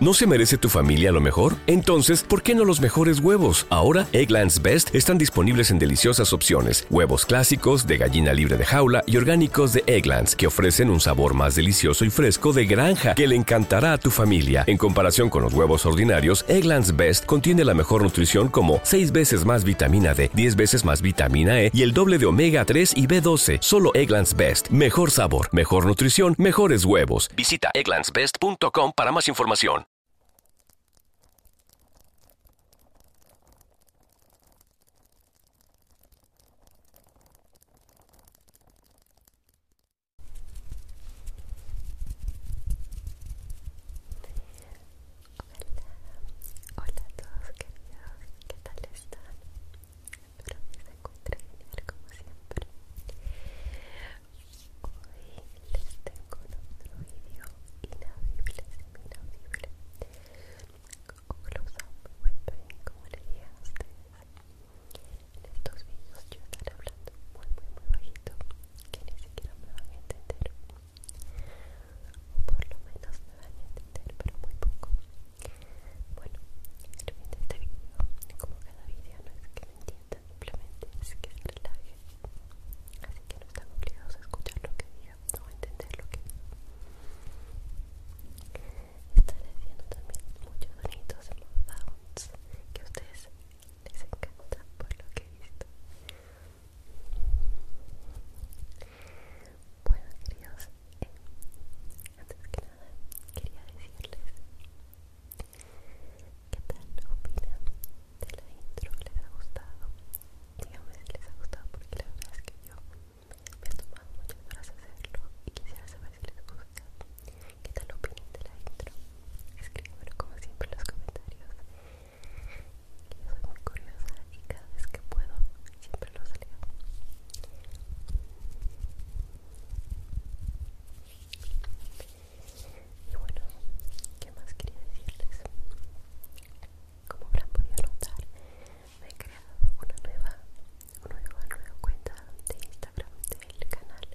no se merece tu familia lo mejor? Entonces, ¿por qué no los mejores huevos? Ahora, Egglands Best están disponibles en deliciosas opciones. Huevos clásicos, de gallina libre de jaula y orgánicos de Egglands, que ofrecen un sabor más delicioso y fresco de granja que le encantará a tu familia. En comparación con los huevos ordinarios, Egglands Best contiene la mejor nutrición como 6 veces más vitamina D, 10 veces más vitamina E y el doble de omega 3 y B12. Solo Egglands Best. Mejor sabor, mejor nutrición, mejores huevos. Visita egglandsbest.com para más información. Hola a todos queridos, ¿qué tal están? Espero que se encuentren como siempre Hoy les tengo otro vídeo inaudible, inaudible o close-up bien, como les dije a ustedes En estos vídeos yo estaré hablando muy muy muy bajito que ni siquiera me van a entender por lo menos me van a entender pero muy poco bueno el fin de como cada vídeo no es que me entiendan simplemente es que el relaje así que no están obligados a escuchar lo que diga o a entender lo que está están también muchos sonidos sounds que a ustedes les encanta por lo que he visto bueno, queridos, eh, antes que nada quería decirles qué tal opinan de la intro, les ha gustado, díganme si les ha gustado porque la verdad es que yo me he tomado muchas de hacerlo y quisiera saber si les gusta. ¿Qué tal opinan de la intro? Escribanlo como siempre en los comentarios yo soy muy curiosa y cada vez que puedo siempre lo salgo Y bueno, ¿qué más quería decirles? Como habrán podido notar, me he creado una nueva, una nueva, nueva cuenta de Instagram del canal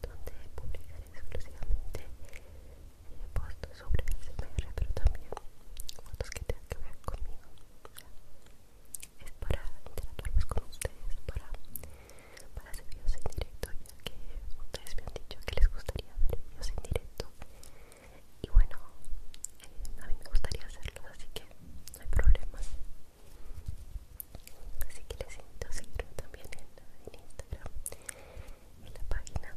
donde publicaré exclusivamente y post sobre ASMR, pero también fotos que tengan que ver conmigo. Es para interactuar más con ustedes, para, para hacer videos en directo, ya que ustedes me han dicho que les gustaría ver videos en directo. Y bueno, eh, a mí me gustaría hacerlos, así que no hay problema. Así que les invito a seguirme también en Instagram la página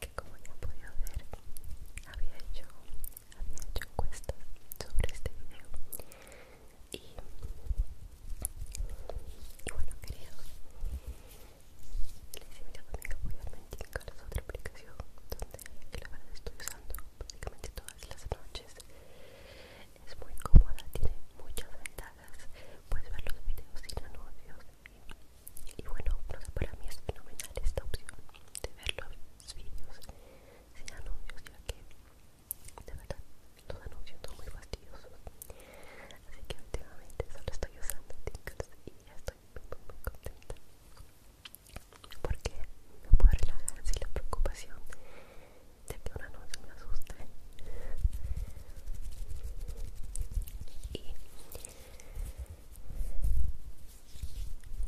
que como ya han ver había hecho, había hecho encuestas sobre este video y, y bueno queridos les invito a que apoyarme en cada la otra aplicación donde la verdad estoy usando prácticamente todas las noches es muy cómoda, tiene muchas ventajas puedes ver los videos sin anuncios y bueno, no sé, para mí es fenomenal esta opción de ver los vídeos sin anuncios, ya que de verdad los anuncios son muy fastidiosos. Así que últimamente solo estoy usando TikTok y ya estoy muy, muy contenta porque me puedo relajar sin la preocupación de que un anuncio me asuste y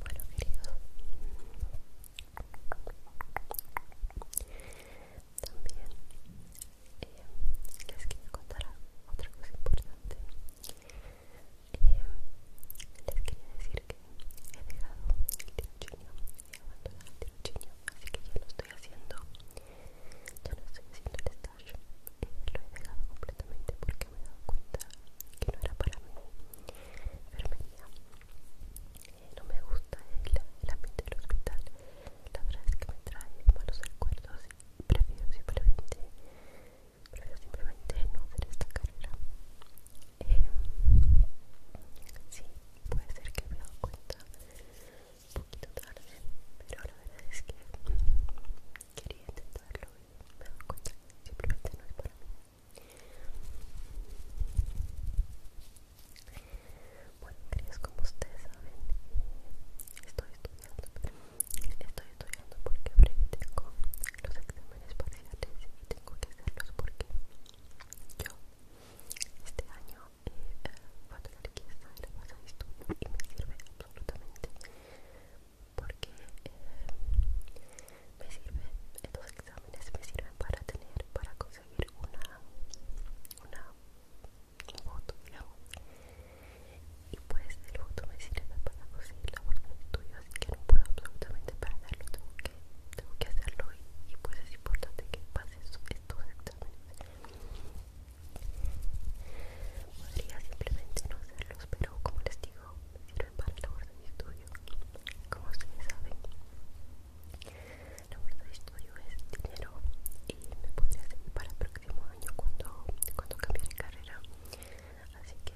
bueno, queridos, también eh, les quería contar otra cosa importante. Eh, les quería decir que he dejado el tirocinio, he abandonado el tirocinio, así que ya lo estoy haciendo yo no estoy haciendo el lo he dejado completamente porque me he dado cuenta que no era para mi enfermería. Eh, no me gusta el, ámbito ambiente del hospital. La verdad es que me trae malos recuerdos y prefiero simplemente, prefiero simplemente no hacer esta carrera. Em, sí, puede ser que me he dado cuenta un poquito tarde, pero la verdad es que quería intentarlo y me doy cuenta que simplemente no es para mí. Bueno, queridos, como ustedes saben, estoy estudiando, estoy estudiando porque breve tengo los exámenes para parciales y tengo que hacerlos porque yo este año eh, y me sirve absolutamente porque eh, me sirve estos exámenes me sirven para tener para conseguir una una foto y pues el foto me sirve para conseguir la bolsa de estudio así que no puedo absolutamente perderlo tengo que, tengo que hacerlo y, pues es importante que pases estos exámenes Podría simplemente no hacerlos, pero como les digo, me para el labor de mi estudio. Como ustedes saben, la labor de estudio es dinero y me podría servir para el próximo año cuando, cuando cambie de carrera. Así que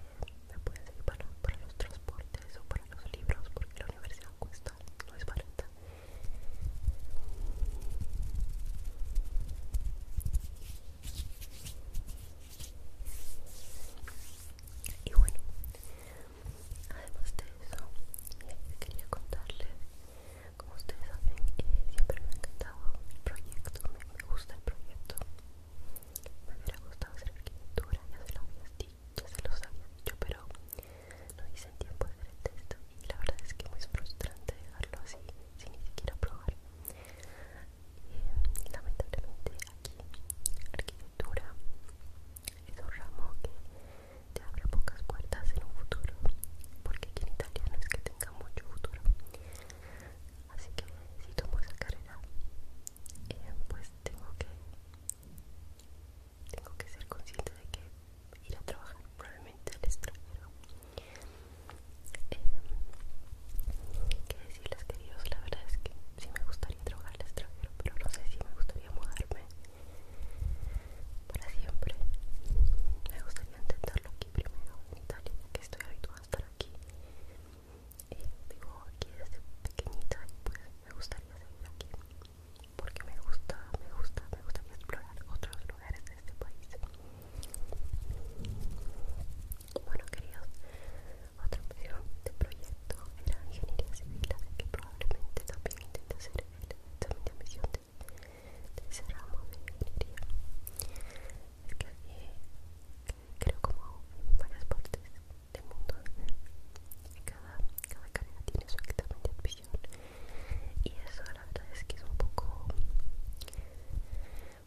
me puede servir para los transportes o para los libros, porque la universidad cuesta, no es barata. Y bueno, además de eso, eh, quería contarles, como ustedes saben, que siempre me ha encantado el proyecto, me, gusta el proyecto. Me hubiera gustado hacer arquitectura, ya se lo había dicho, ya se lo había dicho, pero no hice tiempo de ver el texto y la verdad es que es muy frustrante dejarlo así sin ni siquiera probar. lamentablemente aquí arquitectura es un ramo que te abre pocas puertas en un futuro porque aquí en Italia es que tenga mucho futuro. Así que si tomo esa carrera, eh, pues tengo que tengo que ser consciente de que ir a trabajar probablemente al extranjero. hay eh, ¿Qué decirles, queridos? La verdad es que sí me gustaría trabajar al extranjero, pero no sé si me gustaría mudarme para siempre. Me gustaría intentarlo aquí primero en Italia, que estoy habituada a estar aquí. y eh, vivo aquí desde pequeñita y pues me gustaría seguir aquí porque me gusta, me gusta, me gusta explorar otros lugares de este país. Bueno, queridos, otro video de proyecto era ingeniería civil, que probablemente también intente hacer el la de de, ese ramo de ingeniería. Es que aquí, creo como en varias partes del mundo, cada, cada carrera tiene su actividad de y eso la verdad es que es un poco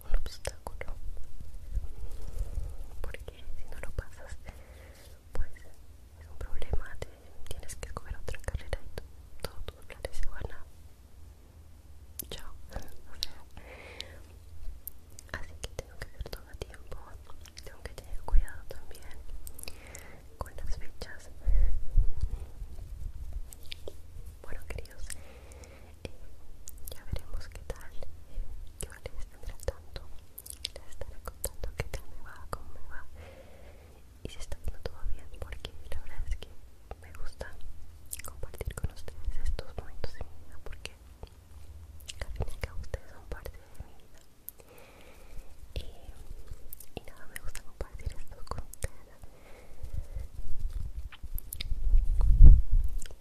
un obstáculo porque si no lo pasas pues es un problema tienes que comer otra carrera y tu, todos tus se van chao así que tengo que hacer todo a tiempo tengo que tener cuidado también con las fechas bueno queridos eh, ya veremos qué tal yo les tendré tanto les estaré contando qué tal me va cómo me va y si está viendo todo bien porque la verdad es que me gusta compartir con ustedes estos momentos de mi vida porque al final ustedes son parte de mi vida y, nada me gusta compartir esto con ustedes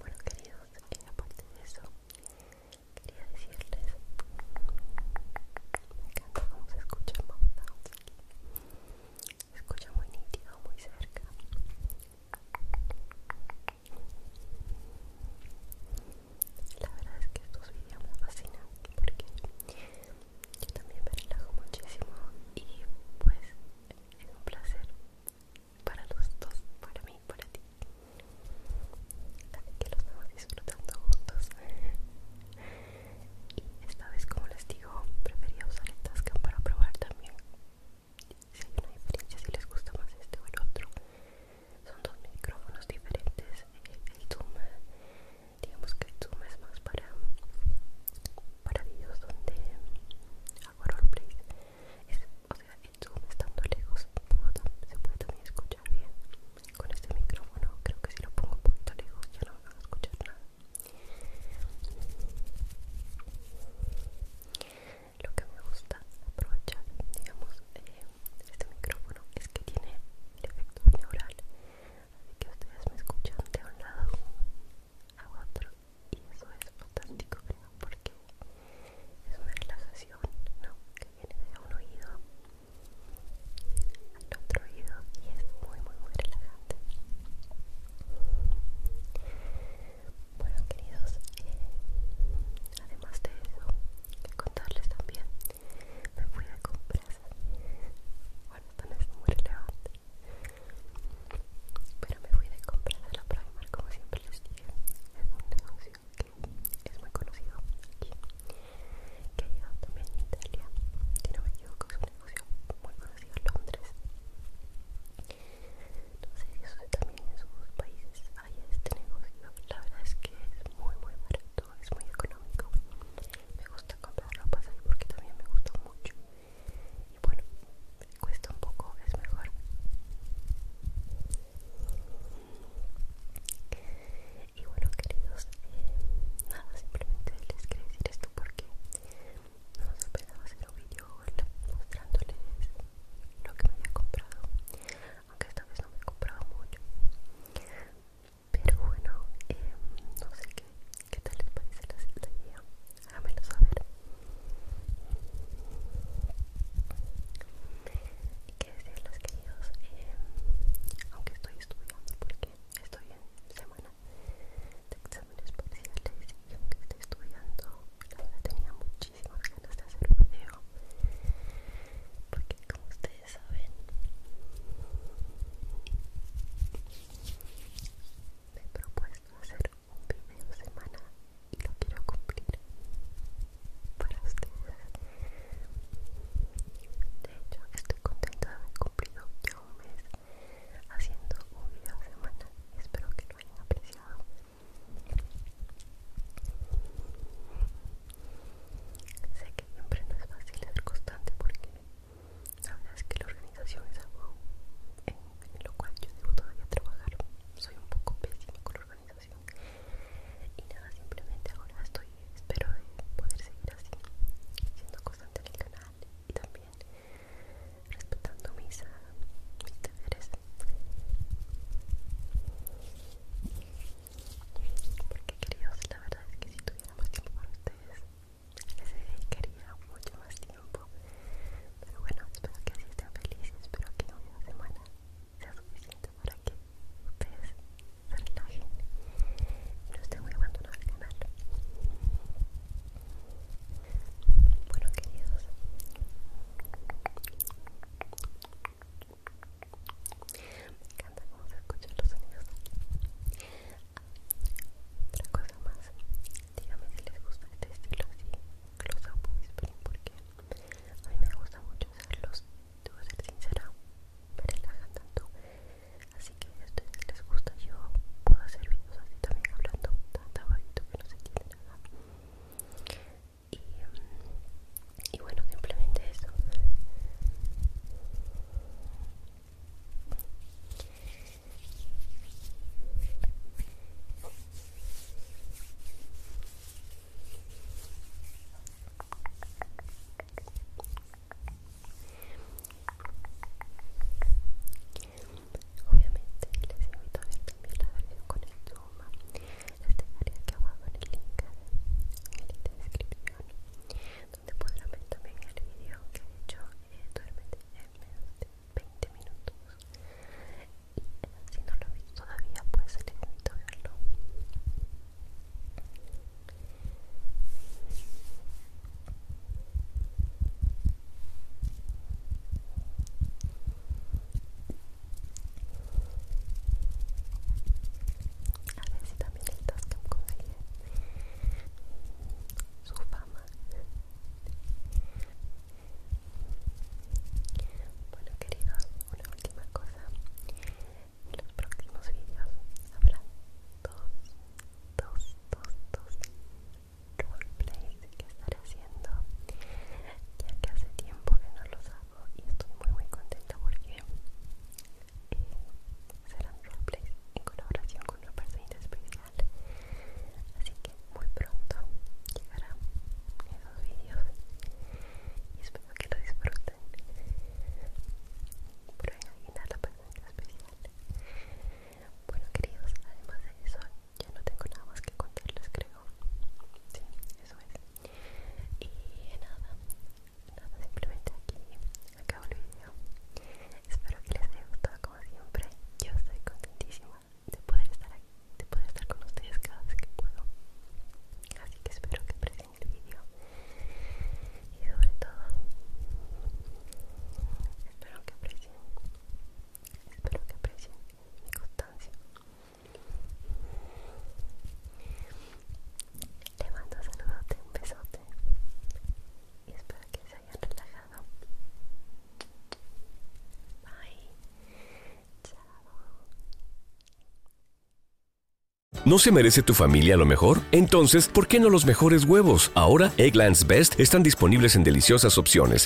bueno queridos y aparte de eso quería decirles me encanta cómo se escucha el se escucha muy nítido muy cerca la verdad es que estos vídeos me fascinan porque yo también me relajo muchísimo y pues es un placer para los dos, para mí y para ti. Que los disfrutando juntos. Y esta vez, como les digo, prefería usar el Tascam para probar también si hay una diferencia, si les gusta más este o el otro son dos micrófonos diferentes el zoom digamos que el zoom es más para para vídeos donde hago roleplays o sea el zoom estando lejos se puede también escuchar bien con este micrófono creo que si lo pongo un poquito lejos ya no me van a escuchar nada lo que me gusta aprovechar digamos eh, este micrófono es que tiene el efecto binaural así que ustedes me escuchan de un lado a otro y eso es fantástico porque es una relajación ¿no? que viene de un oído al otro oído y es muy muy muy relajante bueno queridos eh, además de eso contarles también me fui de compras. Bueno, esto es muy relevante. Pero me fui de compras a la Primark, como siempre les dije. Es un negocio que es muy conocido aquí, que ha llegado también en Italia. Si no me equivoco, es un negocio muy conocido en Londres. No sé eso también en sus países hay este negocio. La verdad es que es muy, muy barato es muy económico. Me gusta comprar ropas ahí porque también me gusta mucho. Y bueno, cuesta un poco, es mejor. Y bueno, queridos, eh, nada, simplemente les quiero decir esto porque no esperaba hacer un video mostrándoles lo que me había comprado aunque esta vez no me he comprado mucho pero bueno eh, no sé qué qué tal les parece la, la a háganmelo saber y qué los queridos eh, aunque estoy estudiando porque estoy en semana de exámenes parciales y aunque estoy estudiando tenía muchísimas ganas de hacer un video porque como ustedes saben me he propuesto hacer un video semana y lo quiero cumplir para ustedes de hecho estoy contenta de haber cumplido ya un mes haciendo un video semana espero que lo hayan apreciado Sé que siempre no es fácil ser constante porque la verdad es que la organización es algo en, lo cual yo debo todavía trabajar. Soy un poco pésimo con la organización y nada, simplemente ahora estoy, espero de poder seguir así, siendo constante en el canal y también respetando mis, ah, mis deberes. Porque queridos, la verdad es que si tuviéramos tiempo para ustedes les dedicaría mucho más tiempo. Pero bueno, espero que así estén felices, espero que una semana sea suficiente para que ustedes se relajen y no estén muy abandonados al canal. Bueno queridos, me encanta cómo se escuchan los sonidos. Otra cosa más, díganme si les gusta este estilo así, close up whispering, porque a mí me gusta mucho usarlos. Debo ser sincera, me relajan tanto. Así que si les gusta, yo puedo hacer videos así también hablando tan bajito que no se entiende nada y, bueno simplemente eso Obviamente les invito a ver también la versión con esto este Les que aquí abajo en el link en la descripción donde podrán ver también el video que he hecho eh, duérmete en menos de 20 minutos y eh, si no lo visto todavía pues les invito a verlo a ver si también el Tascam consigue su fama. Bueno, queridos, una última cosa. En los próximos videos habrá dos, dos, dos, dos roleplays que estaré haciendo, ya que hace tiempo que no los hago y estoy muy muy contenta porque eh, serán roleplays en colaboración con una personita especial así que muy pronto llegarán esos vídeos y espero que lo disfruten pero imaginar la personita especial bueno queridos además de eso ya no tengo nada más que contarles creo sí eso es y nada, nada simplemente aquí acabo el video espero que les haya gustado como siempre yo estoy contentísima de poder estar aquí de poder estar con ustedes cada vez que puedo así que espero que aprecien el video y sobre todo espero que aprecien espero que aprecien mi constancia te mando un saludo, un besote y espero que se hayan relajado. Bye. Chao. ¿No se merece tu familia lo mejor? Entonces, ¿por qué no los mejores huevos? Ahora, Egglands Best están disponibles en deliciosas opciones